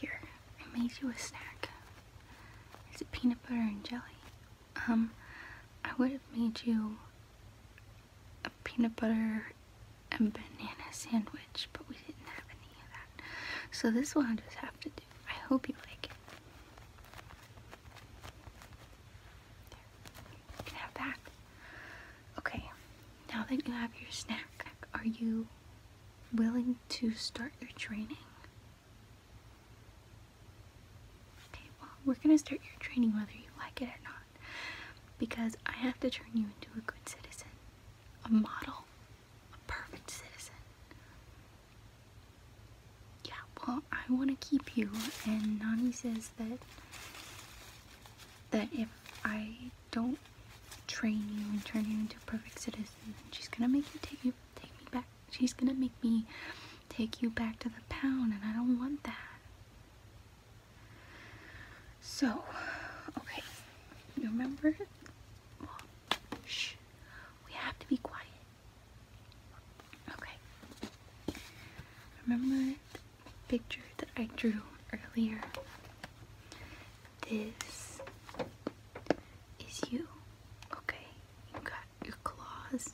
Here, I made you a snack. It's a peanut butter and jelly. Um, I would have made you a peanut butter and banana sandwich, but we didn't have any of that. So this one i just have to do. I hope you like it. You can have that. Okay, now that you have your snack, are you willing to start your training? Okay, well, we're gonna start your training whether you like it or not because I have to turn you into a good citizen, a model, a perfect citizen. Yeah, well, I want to keep you, and Nani says that that if I don't train you and turn you into a perfect citizen. she's gonna make you take me back. She's gonna make me take you back to the pound, and I don't want that. So, okay, remember? shh, we have to be quiet. Okay. Remember the picture that I drew earlier? this is you. Okay, you got your claws,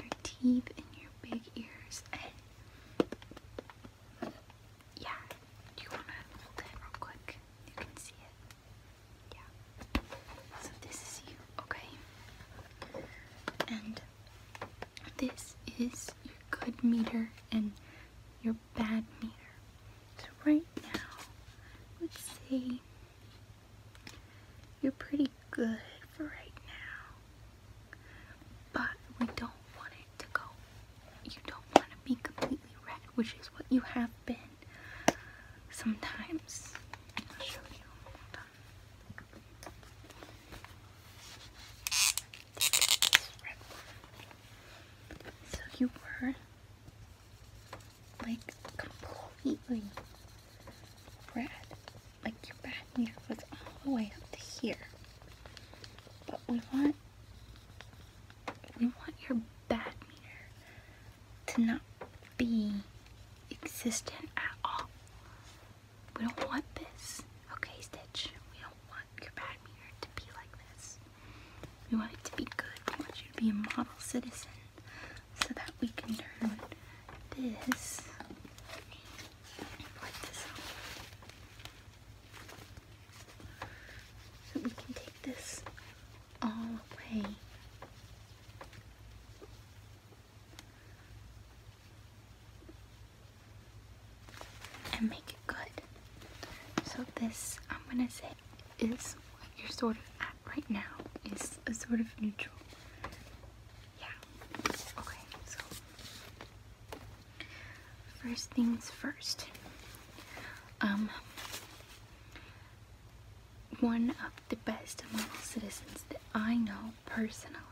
your teeth, and your big ears. yeah, do you wanna hold it real quick? You can see it. Yeah. So this is you, okay? And this is your good meter and you're bad meter. So right now, let's see. You're pretty good for right now. But we don't want it to go. You don't want to be completely red, which is what you have been sometimes. So you were like completely red. Like your back meter was all the way up to here. But we want we want your bad meter to not be existent at all. We don't want this. Okay, Stitch. We do want your bad mirror to be like this. We want it to be good. We want you to be a model citizen so that we can turn this So we can take this all away and make it good. So this, I'm gonna say, is what you're sort of at right now. Is a sort of neutral. Yeah. Okay, so first things first. Um one of the best model citizens that I know personally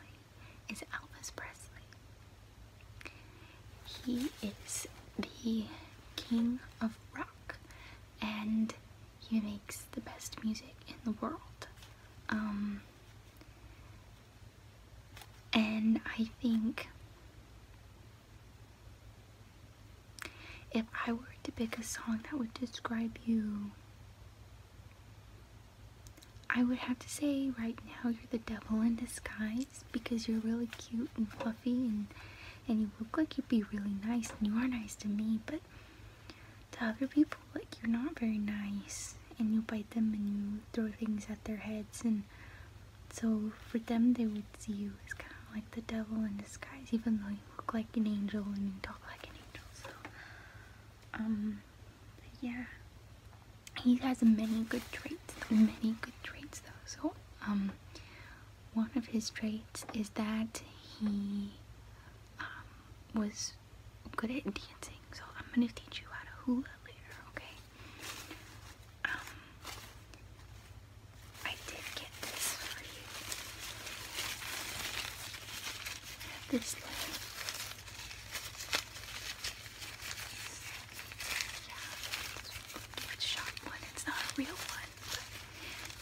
is Elvis Presley. He is the king of rock and he makes the best music in the world. Um, and I think if I were to pick a song that would describe you, I would have to say right now you're the devil in disguise because you're really cute and fluffy and and you look like you'd be really nice and you are nice to me, but to other people like you're not very nice and you bite them and you throw things at their heads and so for them they would see you as kind of like the devil in disguise even though you look like an angel and you talk like an angel so um yeah, he has many good traits, many good traits though. So, um, one of his traits is that he um, was good at dancing. So I'm gonna teach you how to hula later, okay? Um, I did get this for you. This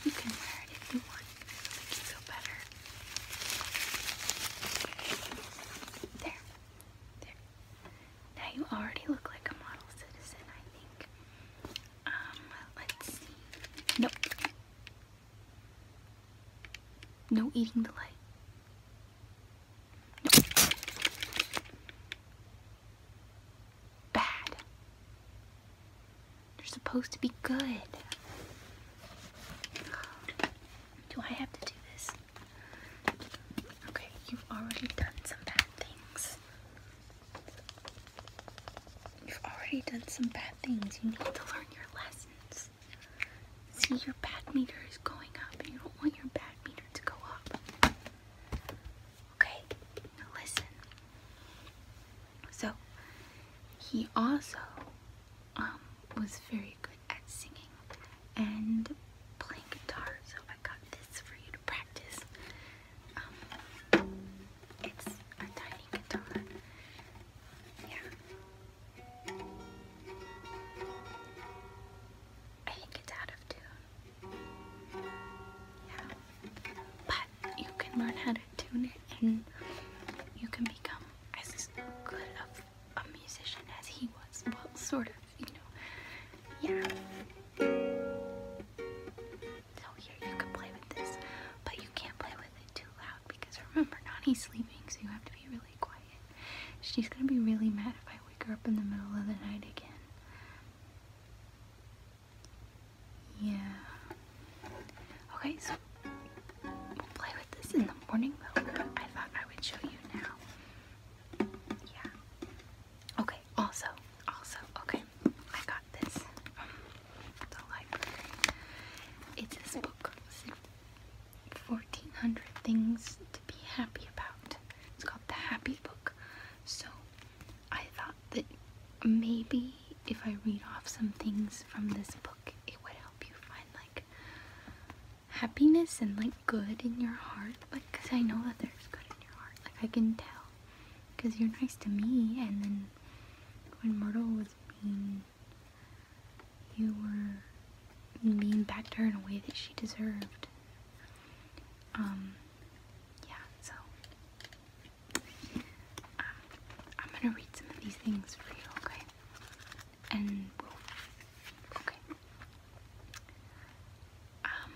you can wear it if you want. you feel better. There. There. Now you already look like a model citizen, I think. Um, let's see. Nope. No eating delay. Bad. They're supposed to be good. Do I have to do this? Okay, you've already done some bad things. You've already done some bad things. You need to learn your lessons. See, your bad meter is going up, and you don't want your bad meter to go up. Okay, now listen. So, he also um, was very good at singing and playing guitar, so I got this for you to practice. Um, it's a tiny guitar. Yeah, I think it's out of tune. Yeah. But you can learn how to tune it and you can become as good of a musician as he was. Well, sort of, you know. Yeah. So here you can play with this, but you can't play with it too loud because remember, Nani's sleeping, so you have to be really quiet. She's gonna be really mad if I wake her up in the middle of the night again. Yeah. Okay, so we'll play with this in the morning though. I thought I would show you now. Yeah. Okay, also, also, okay, I got this It's this book, 1400 things to be happy about. It's called The Happy Book. So I thought that maybe if I read off some things from this book, it would help you find like happiness and like good in your heart. Like, cause I know that there's good in your heart. Like, I can tell. Cause you're nice to me, and then when Myrtle was being you were mean back to her in a way that she deserved. Um, yeah, so um, I'm gonna read some of these things for you, okay? And okay. Um,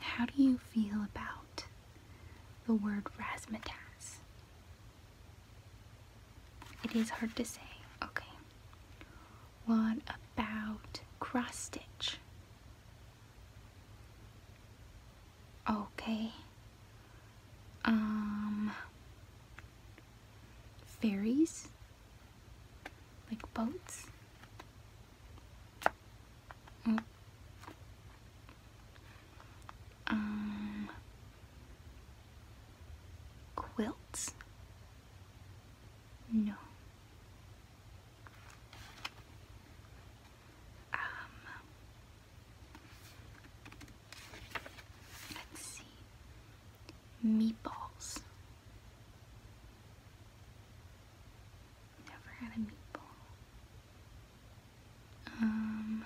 how do you feel about the word razzmatazz? It is hard to say. Okay. What about cross stitch? Okay. Um ferries? Like boats? Mm. Um Quilts? No. Um, let's see. Meatballs. Never had a meatball. Um,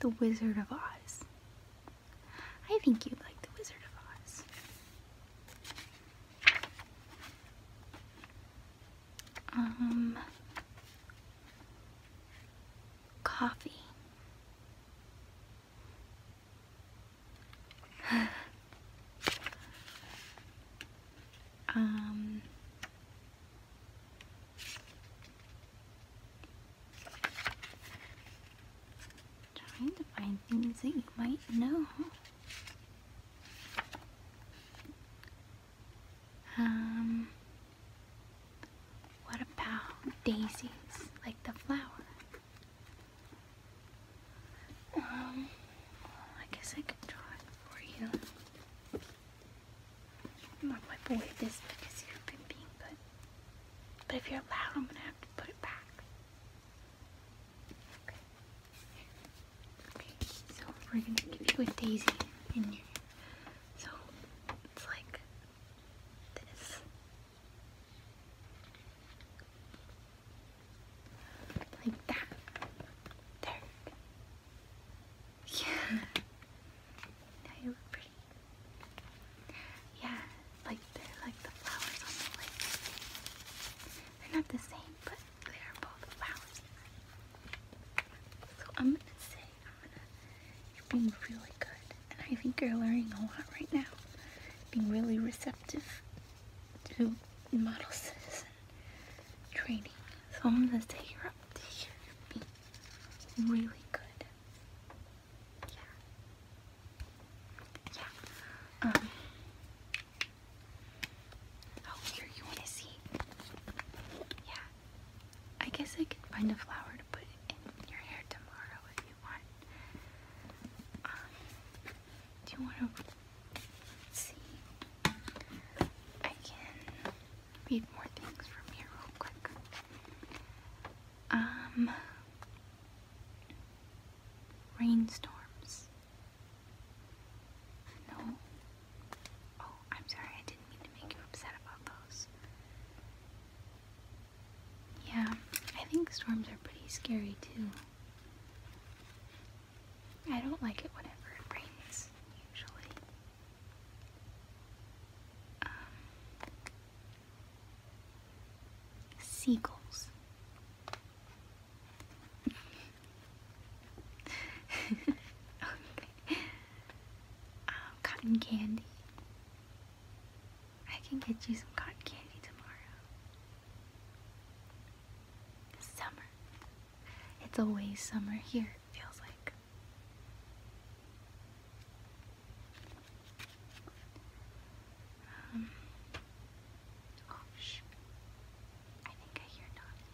the Wizard of Oz. I think you'd like The Wizard of Oz. Um, coffee. um, Trying to find things that you might know. Um, what about daisies, like the flower? Um, I guess I could draw it for you. I'm not my boy this because you've been good. But if you're loud, I'm gonna have to put it back. Okay. so we're gonna give you a daisy in your hand. So it's like this. Like that. There. Yeah. Yeah, like they're like the flowers on the lake. They're not the same, but they are both flowers. So I'm gonna say you're being really good and I think you're learning a lot right now. Being really receptive to models training. So I'm gonna take her up to here. Be really good. Yeah. Yeah. Um. Oh, here you wanna see? Yeah. I guess I could find a flower to put in your hair tomorrow if you want. Um, do you wanna? Let's see. I can read more things from here real quick. Um, rainstorms. No. Oh, I'm sorry. I didn't mean to make you upset about those. Yeah, I think storms are pretty scary too. I don't like it whenever it rains, usually. Um, seagulls. Um, cotton candy. I can get you some cotton candy tomorrow. Summer. It's always summer here, it feels like. Um, shh. I think I hear Donnie.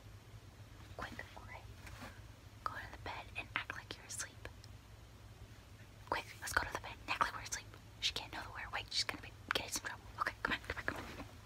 Quick, Go to the bed and act like you're asleep. Quick, let's go to the bed act like we're asleep. She can't know that we're awake. She's gonna be getting some trouble. Okay, come on, come on, come on.